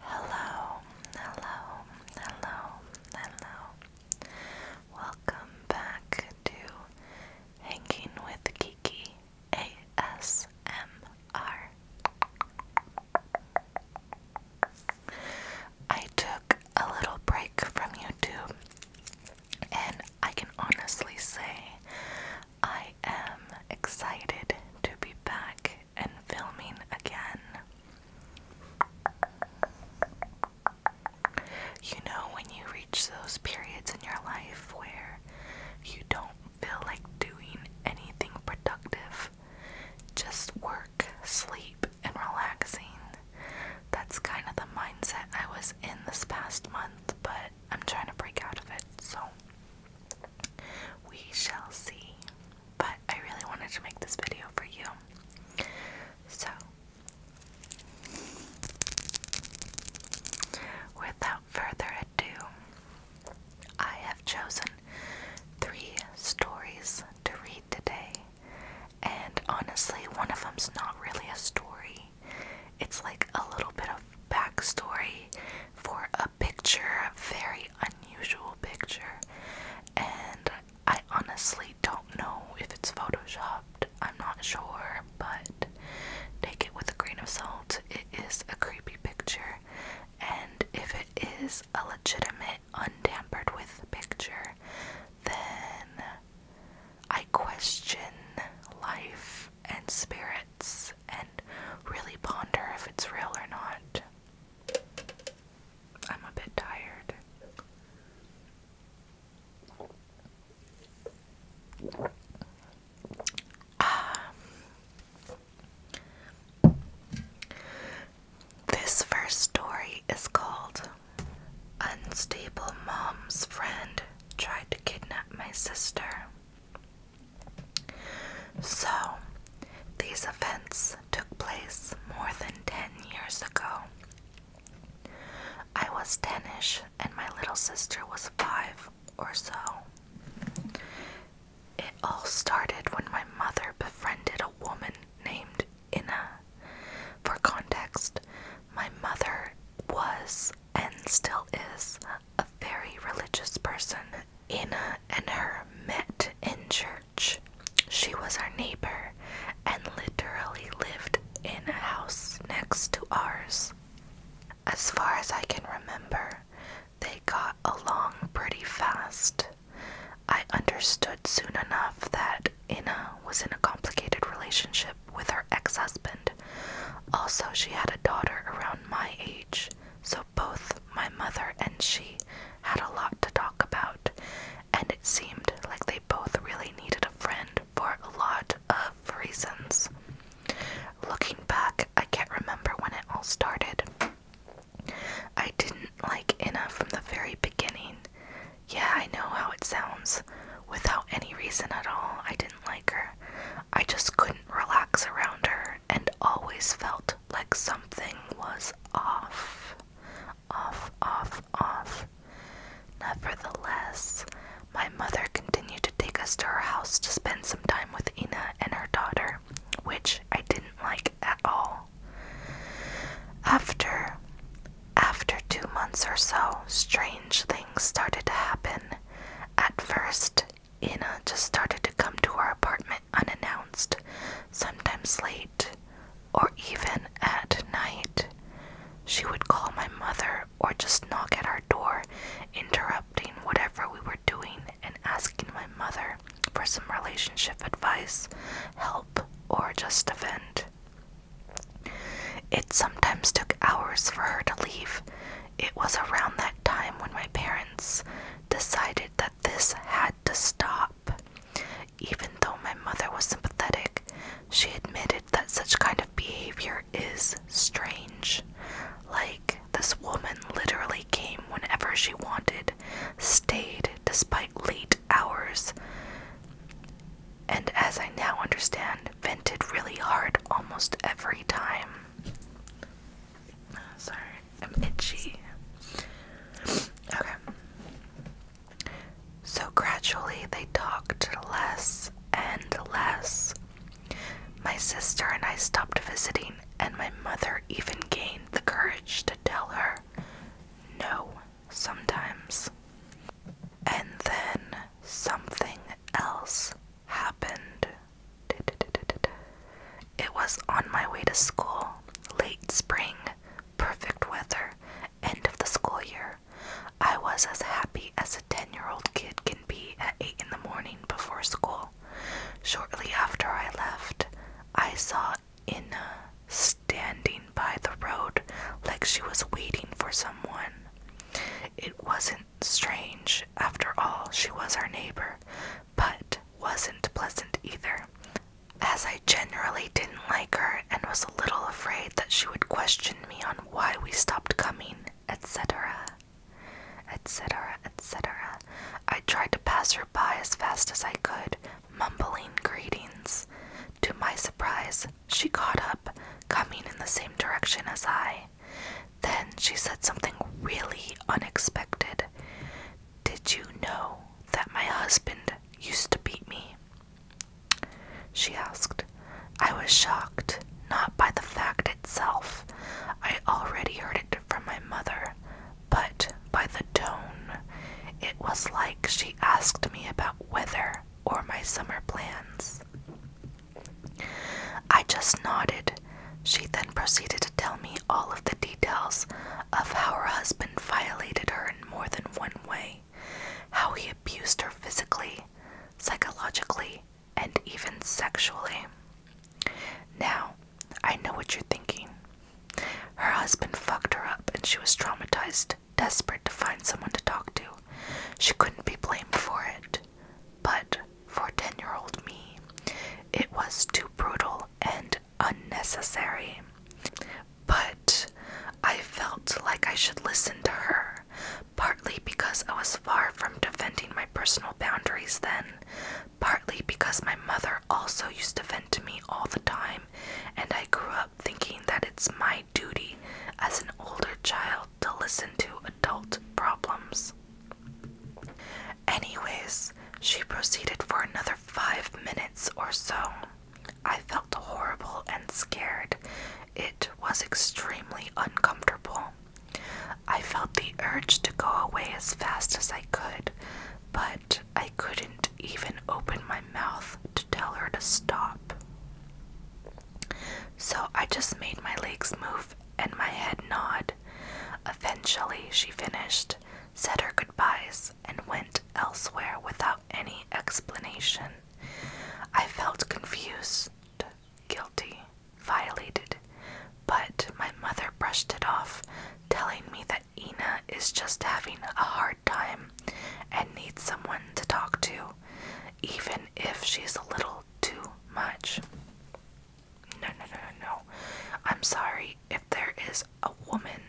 Hello, hello, hello, hello. Welcome back to Hanging with Kiki ASMR. I took a little break from YouTube, and I can honestly say I am excited to be back and filming again. You know, when you reach those periods in your life where you don't feel like doing anything productive, just work sleep, and relaxing. That's kind of the mindset I was in this past month, but I'm trying to break out of it, so we shall see. But I really wanted to make this video for you. So, without further ado, I have chosen three stories to read today and honestly, one of them's not really a story. It's like a little bit of backstory for a picture, a very unusual picture. And I honestly don't know if it's photoshopped. I'm not sure, but take it with a grain of salt. It is a creepy picture. And if it is a legitimate, untampered with picture, then I question life and spirits and really ponder if it's real or not. I'm a bit tired. Um, this first story is called Unstable Mom's Friend Tried to Kidnap My Sister. So, these events took place more than 10 years ago. I was 10 and my little sister was 5 or so. It all started when my mother befriended a woman named Inna. For context, my mother was and still is a very religious person. Inna and her met in church. She was our neighbor and literally lived in a house next to ours. As far as I can remember, they got along pretty fast. I understood soon enough that Ina was in a complicated relationship with her ex husband. Also, she had a daughter around my age, so both my mother and she had a lot to talk about, and it seemed like they both really needed a friend for a lot of reasons. Looking back, I can't remember when it all started. I didn't like Ina from the very beginning. Yeah, I know how it sounds. Without any reason at all, I didn't like her. I just couldn't relax around her and always felt like something was off. Off, off, off. Nevertheless, my mother continued to take us to her house to spend some time with Ina and her daughter, which I didn't like at all. After after two months or so, strange things started to happen. At first, Ina just started to come to our apartment unannounced, sometimes late, or even at night. She would call my mother or just knock at our door, interrupting whatever we were doing and asking my mother for some relationship advice, help, or just defend. It sometimes took hours for her to leave. It was around that time when my parents decided that this had to stop. Even though my mother was sympathetic, she admitted that such kind of behavior is strange. Like, this woman literally came whenever she wanted stayed despite late hours, and as I now understand, vented really hard almost every time. Sorry, I'm itchy. Okay. So gradually they talked less and less. My sister and I stopped visiting, and my mother even gained the courage to tell her, No, sometimes. And then something else happened. It was on my way to school, late spring, perfect weather, end of the school year. I was as happy as a 10 year old kid can be at 8 in the morning before school. Shortly after I left, I saw in standing by the road like she was waiting for someone. It wasn't strange, after all, she was our neighbor, but wasn't pleasant either, as I generally didn't like her and was a little afraid that she would question me on why we stopped coming, etc. Etc. etc. I tried to pass her by as fast as I could, mumbling greetings. To my surprise, she caught up, coming in the same direction as I. Then she said something really unexpected. Did you know that my husband used to beat me? She asked. I was shocked, not by the fact itself. I already heard it from my mother but by the tone, it was like she asked me about weather or my summer plans. I just nodded. She then proceeded to tell me all of the details of how her husband violated her in more than one way, how he abused her physically, psychologically, and even sexually. Now, I know what you're thinking. Her husband fucked her up and she was traumatized, desperate to find someone to talk to. She couldn't be blamed for it. But for 10 year old me, it was too brutal and unnecessary. But I felt like I should listen to her, partly because I was far from defending my personal boundaries then, partly because my mother also used to vent to me all the time and I grew up thinking that it's my duty as an older child to listen to adult problems. Anyways, she proceeded for another five minutes or so. I felt horrible and scared. It was extremely uncomfortable. I felt the urge to go away as fast as I could, but I couldn't even open my mouth to tell her to stop. So I just made my legs move and my head nod. Eventually, she finished, said her goodbyes, and went elsewhere without any explanation. I felt confused, guilty, violated, but my mother brushed it off, telling me that that Ina is just having a hard time and needs someone to talk to, even if she's a little too much. No, no, no, no, no. I'm sorry if there is a woman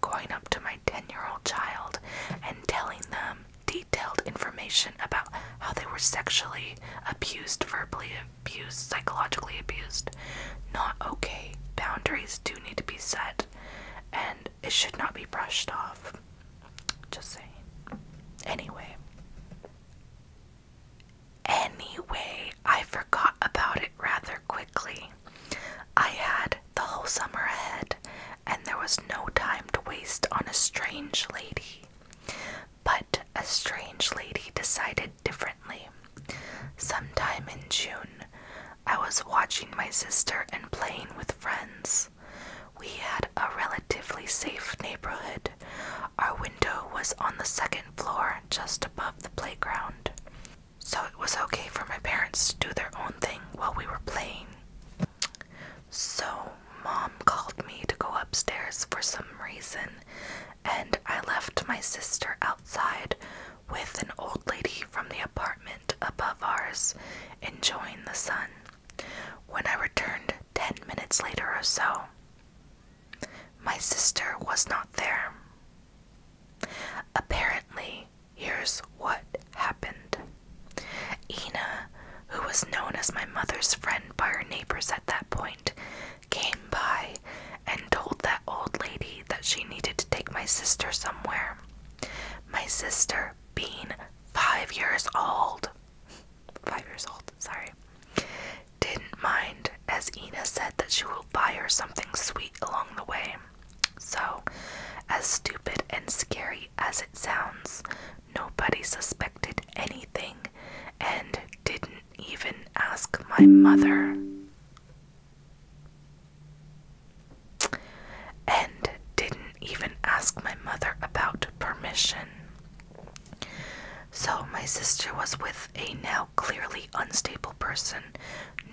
going up to my 10 year old child and telling them detailed information about how they were sexually abused, verbally abused, psychologically abused. Not okay. Boundaries do need to be said and it should not be brushed off. Just saying. Anyway. Anyway, I forgot about it rather quickly. I had the whole summer ahead, and there was no time to waste on a strange lady. But a strange lady decided differently. Sometime in June, I was watching my sister and playing with friends. We had a relatively safe neighborhood. Our window was on the second floor, just above the playground. So it was okay for my parents to do their own thing while we were playing. So, mom called me to go upstairs for some reason, and I left my sister outside with an old lady from the apartment above ours enjoying the sun. When I returned ten minutes later or so, my sister was not there. Apparently, here's what happened. Ina, who was known as my mother's friend by her neighbors at that point, came by and told that old lady that she needed to take my sister somewhere. My sister being five years old. Five years old, sorry. Didn't mind, as Ina said that she will buy her something sweet along the way. So, as stupid and scary as it sounds, nobody suspected anything and didn't even ask my mother. And didn't even ask my mother about permission. So my sister was with a now clearly unstable person,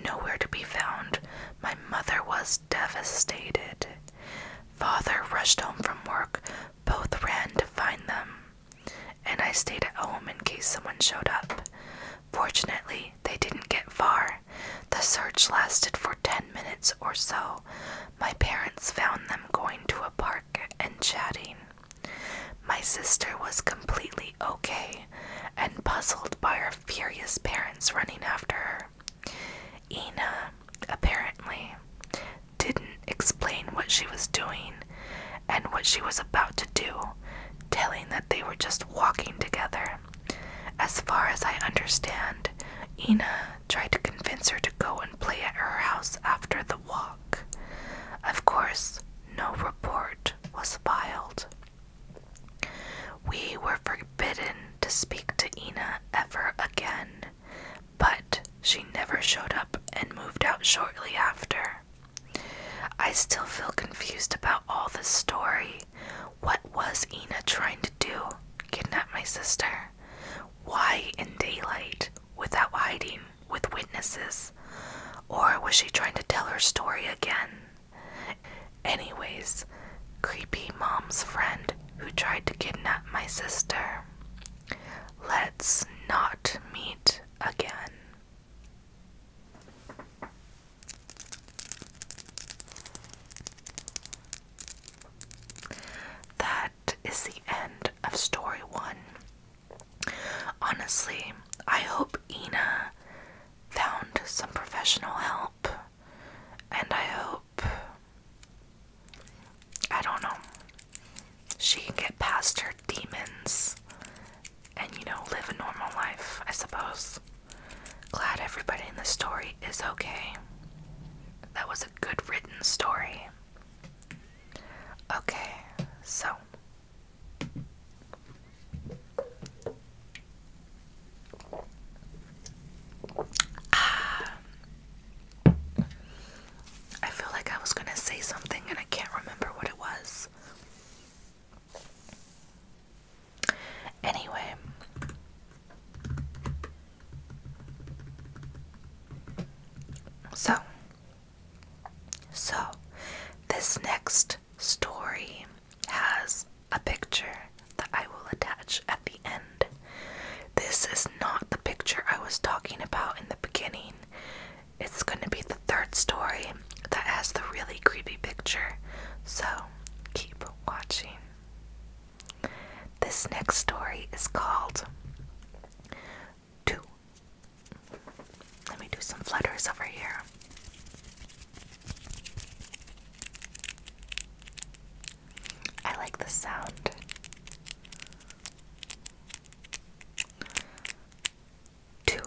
nowhere to be found. My mother was devastated. Father rushed home from work, both ran to find them, and I stayed at home in case someone showed up. Fortunately, they didn't get far. The search lasted for ten minutes or so. My parents found them going to a park and chatting. My sister was completely okay and puzzled by her furious parents running after her. Ina, apparently, didn't explain what she was doing and what she was about to do telling that they were just walking together. As far as I understand, Ina tried to convince her to go and play at her house after the walk. Of course, no report was filed. We were forbidden to speak to Ina ever again, but she never showed up and moved out shortly after. I still feel confused about all this story. What was Ina trying to do? Kidnap my sister? Why in daylight? Without hiding? With witnesses? Or was she trying to tell her story again? Anyways, creepy mom's friend who tried to kidnap my sister. Let's not meet again. That is the end of story one. Honestly, I hope Ina found some professional help, and I hope. I don't know. She can get past her demons and, you know, live a normal life, I suppose. Glad everybody in the story is okay. That was a good written story. Okay, so. Ah. I feel like I was gonna say something and I can't remember what it was. Anyway. So, so this next story has a picture that I will attach at the end. This is not the picture I was talking about in the beginning. It's going to be the third story that has the really creepy picture, so keep watching. This next story is called Two. Let me do some flutters over here. I like the sound two,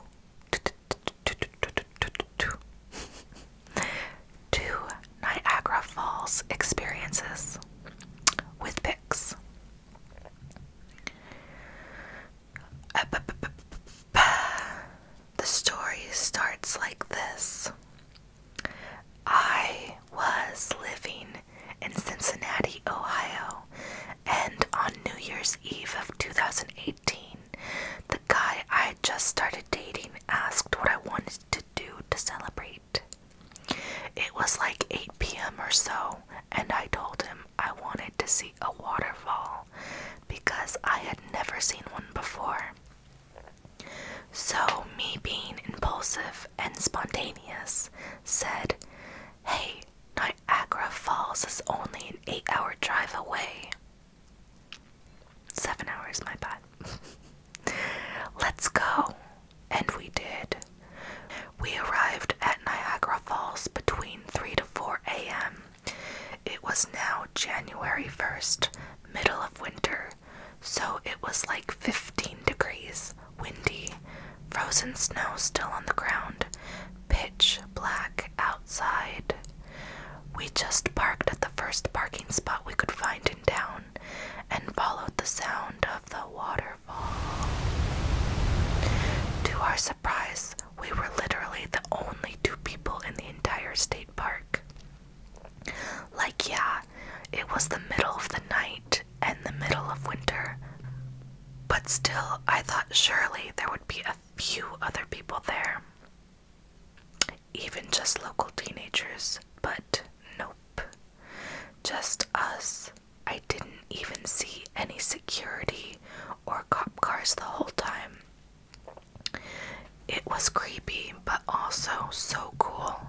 two Niagara Falls experiences with pics. The story starts like this. I was living in Cincinnati, Ohio, and on New Year's Eve of 2008, the guy I had just started dating asked what I wanted to do to celebrate. It was like 8 p.m. or so, and I told him I wanted to see a waterfall because I had never seen one before. So, me being impulsive and spontaneous, said, Hey, Niagara Falls is only an eight hour drive away. Seven hours, my bad. Let's go. And we did. We arrived at Niagara Falls between 3 to 4 a.m. It was now January 1st, middle of winter, so it was like 15 degrees, windy, frozen snow still on the ground, pitch black out outside. We just parked at the first parking spot we could find in town and followed the sound of the waterfall. To our surprise, we were literally the only two people in the entire state park. Like, yeah, it was the middle of the night and the middle of winter, but still, I thought surely there would be a few other people there, even just local teenagers, but nope, just us. I didn't even see any security or cop cars the whole time. It was creepy, but also so cool.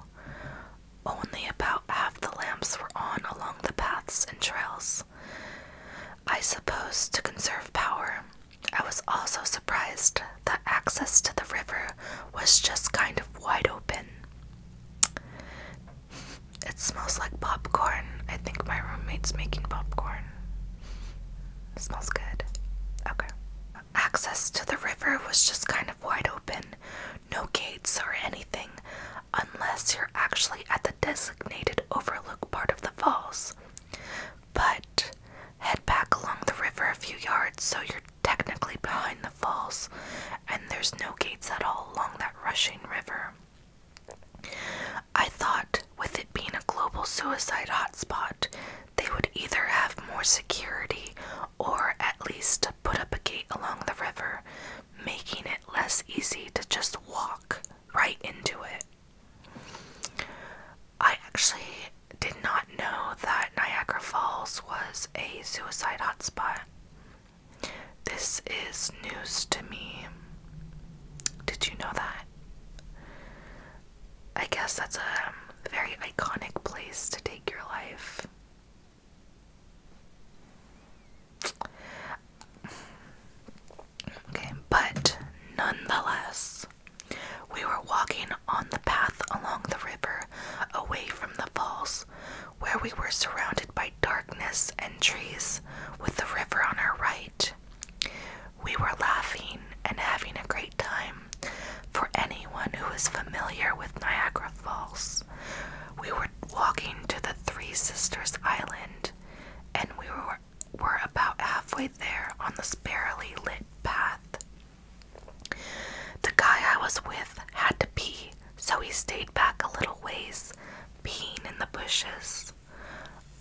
Only about half the lamps were on along the paths and trails. I suppose to conserve power. I was also surprised that access to the river was just kind of wide open. It smells like popcorn. I think my roommate's making popcorn. smells good. Okay. Access to the river was just kind of wide open. No gates or anything unless you're actually at the designated overlook part of the falls. But head back along the river a few yards so you're technically behind the falls, and there's no gates at all along that rushing river. I thought, with it being a global suicide hotspot, they would either have more security or at least put up a gate along the river, making it less easy to just walk right into it. I actually did not know that Niagara Falls was a suicide hotspot. This is news to me. Did you know that? I guess that's a very iconic place to take your life. Okay, but nonetheless, we were walking on the path along the river away from the falls, where we were surrounded by darkness and trees, with the river on our right. We were laughing and having a great time. For anyone who is familiar with Niagara Falls, we were walking to the Three Sisters Island and we were we're about halfway there on this barely lit path. The guy I was with had to pee, so he stayed back a little ways, peeing in the bushes.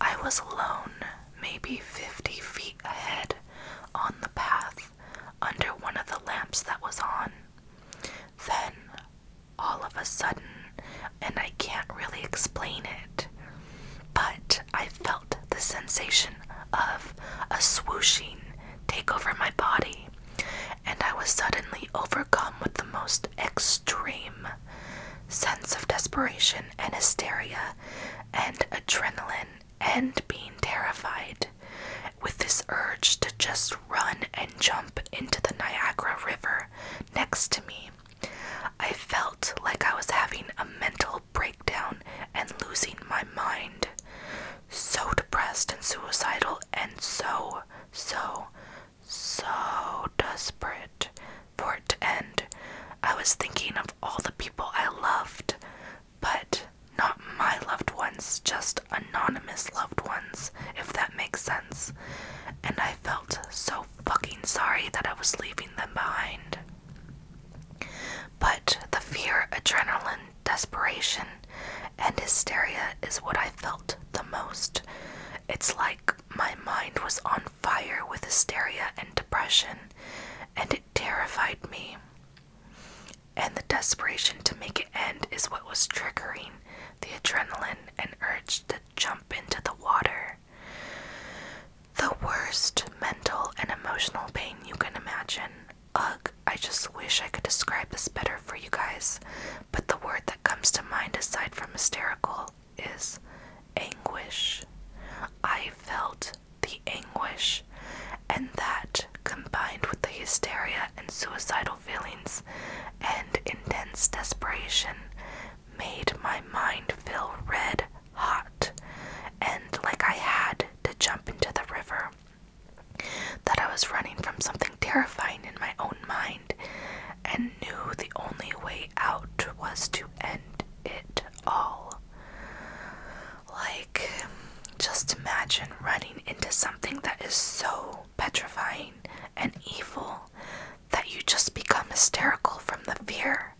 I was alone, maybe 50 feet ahead on the path, under one of the lamps that was on. Then all of a sudden, and I can't really explain it. But I felt the sensation of a swooshing take over my body, and I was suddenly overcome with the most extreme sense of desperation and hysteria and adrenaline and being terrified with this urge to just run and jump into the Niagara River next to me I felt like I was having a mental breakdown and losing my mind. So depressed and suicidal, and so, so, so desperate for it to end. I was thinking of all the people I loved, but not my loved ones, just anonymous loved ones, if that makes sense. And I felt so fucking sorry that I was leaving them behind. But the fear, adrenaline, desperation, and hysteria is what I felt the most. It's like my mind was on fire with hysteria and depression, and it terrified me. And the desperation to make it end is what was triggering the adrenaline and urge to jump into the water. The worst mental and emotional pain you can imagine. Ugh, I just wish I could describe this better for you guys, but the word that comes to mind aside from hysterical is anguish. I felt the anguish, and that combined with the hysteria and suicidal feelings and intense desperation made my mind feel red hot and like I had to jump into the river. That I was running from something terrifying in my own mind and knew the only way out was to end it all. Like, just imagine running into something that is so petrifying and evil that you just become hysterical from the fear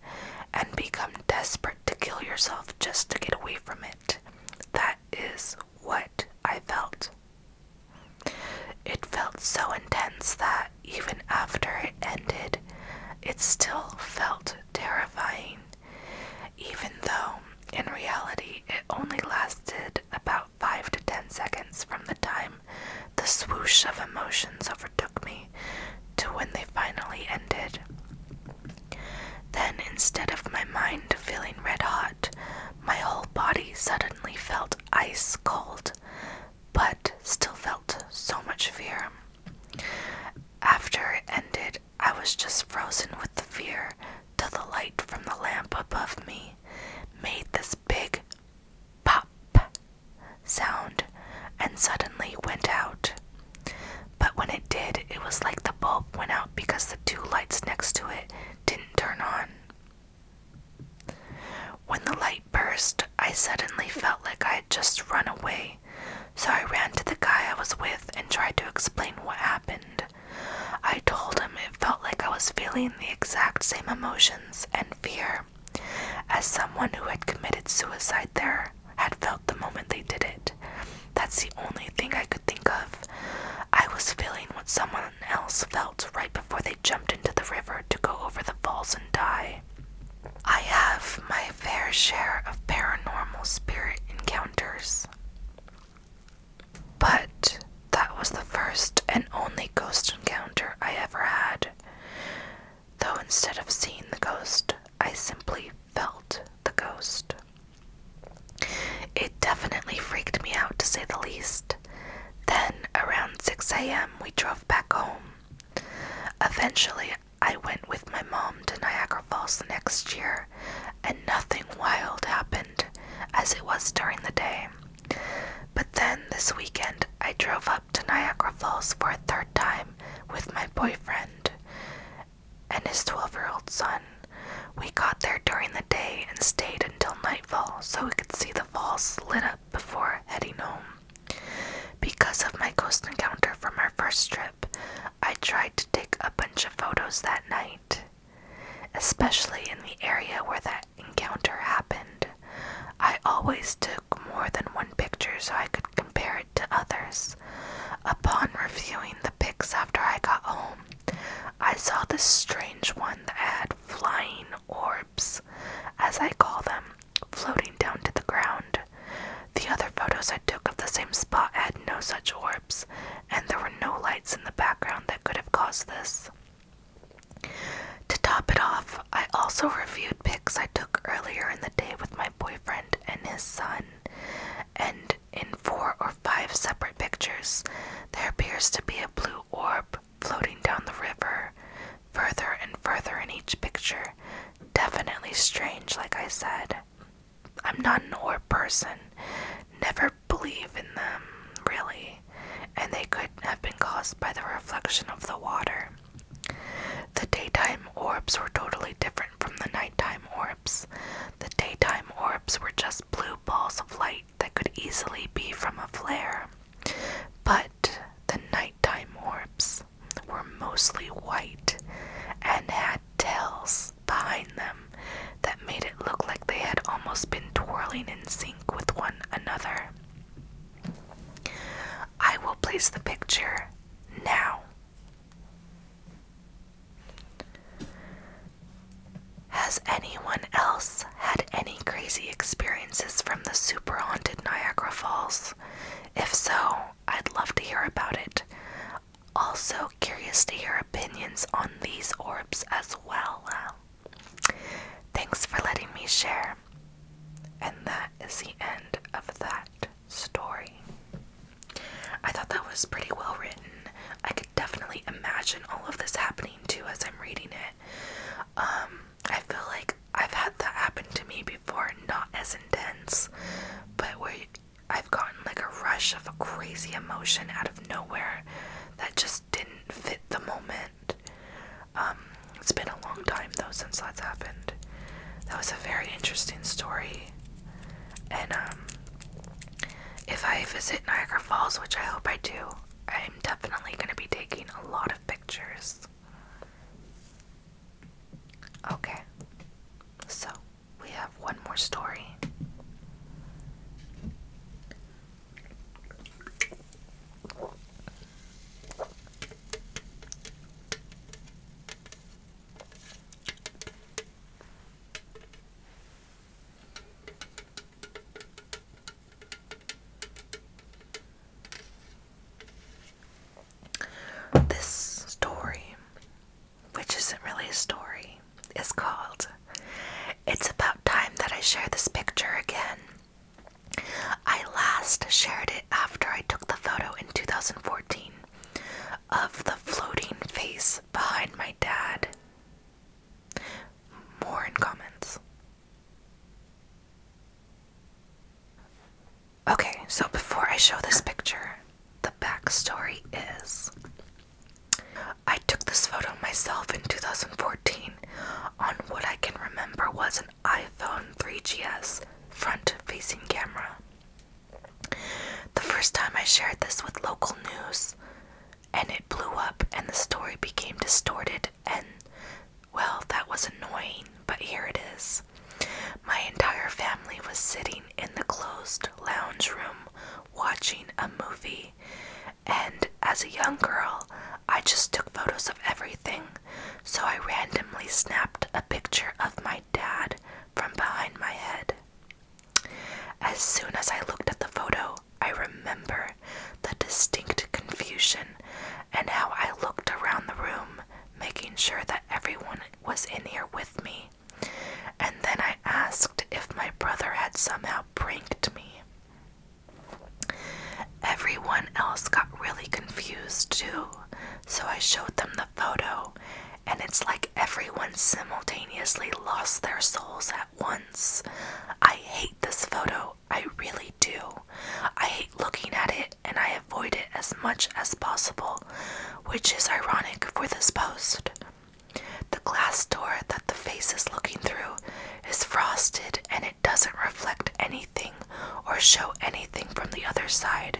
and become desperate to kill yourself just to get away from it. That is what I felt. It felt so intense that even after it ended, it still felt terrifying, even though in reality it only lasted about five to ten seconds from the time the swoosh of emotions overtook me to when they finally ended. Then, instead of my mind feeling red hot, my whole body suddenly felt ice cold, but still felt so much fear. After it ended, I was just frozen with the fear till the light from the lamp above me made this big pop sound and suddenly went out. But when it did, it was like the bulb went out because the two lights next to it didn't turn on. When the light burst, I suddenly felt like I had just run away, so I ran to the guy I was with and tried to explain what happened. I told him it felt like I was feeling the exact same emotion and fear, as someone who had committed suicide there had felt the moment they did it. That's the only thing I could think of. I was feeling what someone else felt right before they jumped into the river to go over the falls and die. I have my fair share of paranormal spirit encounters. But that was the first and only ghost encounter I ever had. Though instead of seeing the ghost, I simply felt the ghost. It definitely freaked me out to say the least. Then, around 6 a.m., we drove back home. Eventually, I went with my mom to Niagara Falls the next year, and nothing wild happened as it was during the day. But then this weekend, I drove up to Niagara Falls for a third time with my boyfriend and his 12 year old son. We got there during the day and stayed until nightfall so we could see the falls lit up before heading home. Because of my ghost encounter from our first trip, I tried to take a bunch of photos that night, especially in the area where that encounter happened. I always took more than one picture so I could compare it to others. Upon reviewing the pics after I got home, I saw this strange one that had flying orbs, as I call them, floating down to the ground. The other photos I took of the same spot had no such orbs, and there were no lights in the background that could have caused this. To top it off, I also reviewed pics I took earlier in the day with my boyfriend and his son, and in four or five separate pictures, there appears to be a blue orb floating down the river, further and further in each picture. Definitely strange, like I said. I'm not an orb person, never believe in them, really and they could have been caused by the reflection of the water. The daytime orbs were totally different from the nighttime orbs. The daytime orbs were just blue balls of light that could easily be from a flare. But the nighttime orbs were mostly white and had tails behind them that made it look like they had almost been twirling in sync with one another. I will place the picture now. Has anyone else had any crazy experiences from the super haunted Niagara Falls? If so, I'd love to hear about it. Also, curious to hear opinions on these orbs as well. Thanks for letting me share. And that is the end of that story. I thought that was pretty well written. I could definitely imagine all of this happening too as I'm reading it. Um, I feel like I've had that happen to me before, not as intense, but where I've gotten like a rush of a crazy emotion out of nowhere that just didn't fit the moment. Um, it's been a long time though since that's happened. That was a very interesting story. And um, if I visit Niagara Falls, which I hope I do, I'm definitely going to be taking a lot of pictures. Okay, so we have one more story. This story, which isn't really a story, is called it's about time that I share this picture again. I last shared it after I took the photo in 2014 of the floating face behind my dad. More in comments. Okay, so before I show this picture, the backstory is I took this photo myself in 2014 on what I can remember was an iPhone 3GS front facing camera. The first time I shared this with local news, and it blew up, and the story became distorted, and well, that was annoying, but here it is. My entire family was sitting in the closed lounge room watching a movie, and as a young girl, I just took photos of everything, so I randomly snapped a picture of my dad from behind my head. As soon as I looked at the photo, I remember the distinct confusion and how I looked around the room, making sure that everyone was in here with me. And then I asked if my brother had somehow pranked me. Everyone else got really confused too, so I showed them the photo, and it's like everyone simultaneously lost their souls at once. I hate this photo, I really do. I hate looking at it, and I avoid it as much as possible, which is ironic for this post. The glass door the face is looking through is frosted and it doesn't reflect anything or show anything from the other side,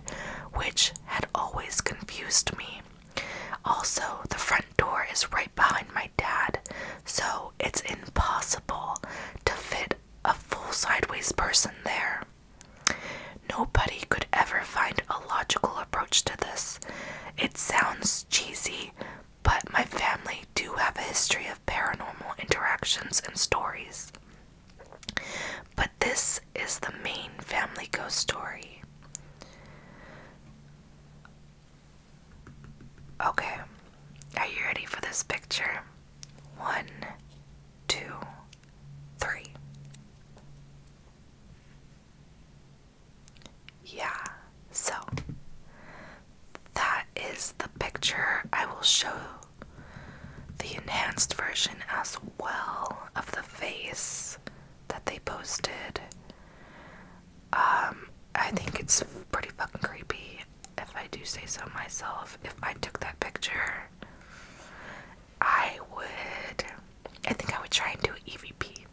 which had always confused me. Also, the front door is right behind my dad, so it's impossible to fit a full sideways person there. Nobody could ever find a logical approach to this. It sounds cheesy, but my family do have a history of paranormal interactions and stories. But this is the main family ghost story. Okay, are you ready for this picture? One, two, three. Yeah, so that is the picture. I will show the enhanced version as well of the face that they posted. Um, I think it's pretty fucking creepy, if I do say so myself. If I took that picture, I would. I think I would try and do an EVP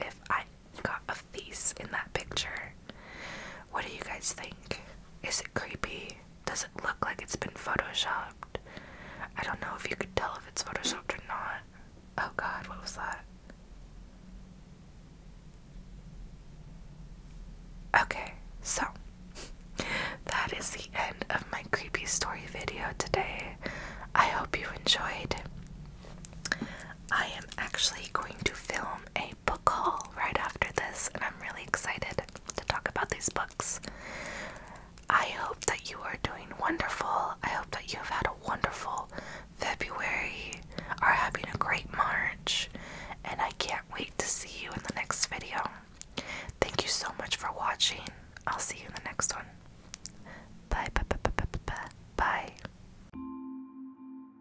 if I got a face in that picture. What do you guys think? Is it creepy? Does it look like it's been photoshopped? I don't know if you could tell if it's photoshopped or not. Oh god, what was that? Okay, so that is the end of my creepy story video today. I hope you enjoyed. I am actually going to film a book haul right after this, and I'm really excited to talk about these books. I hope that you are doing wonderful. I hope that you have had a wonderful February, are having a great March, and I can't wait to see you in the next video. Thank you so much for watching. I'll see you in the next one. Bye, bye, bye, bye, bye, bye. bye.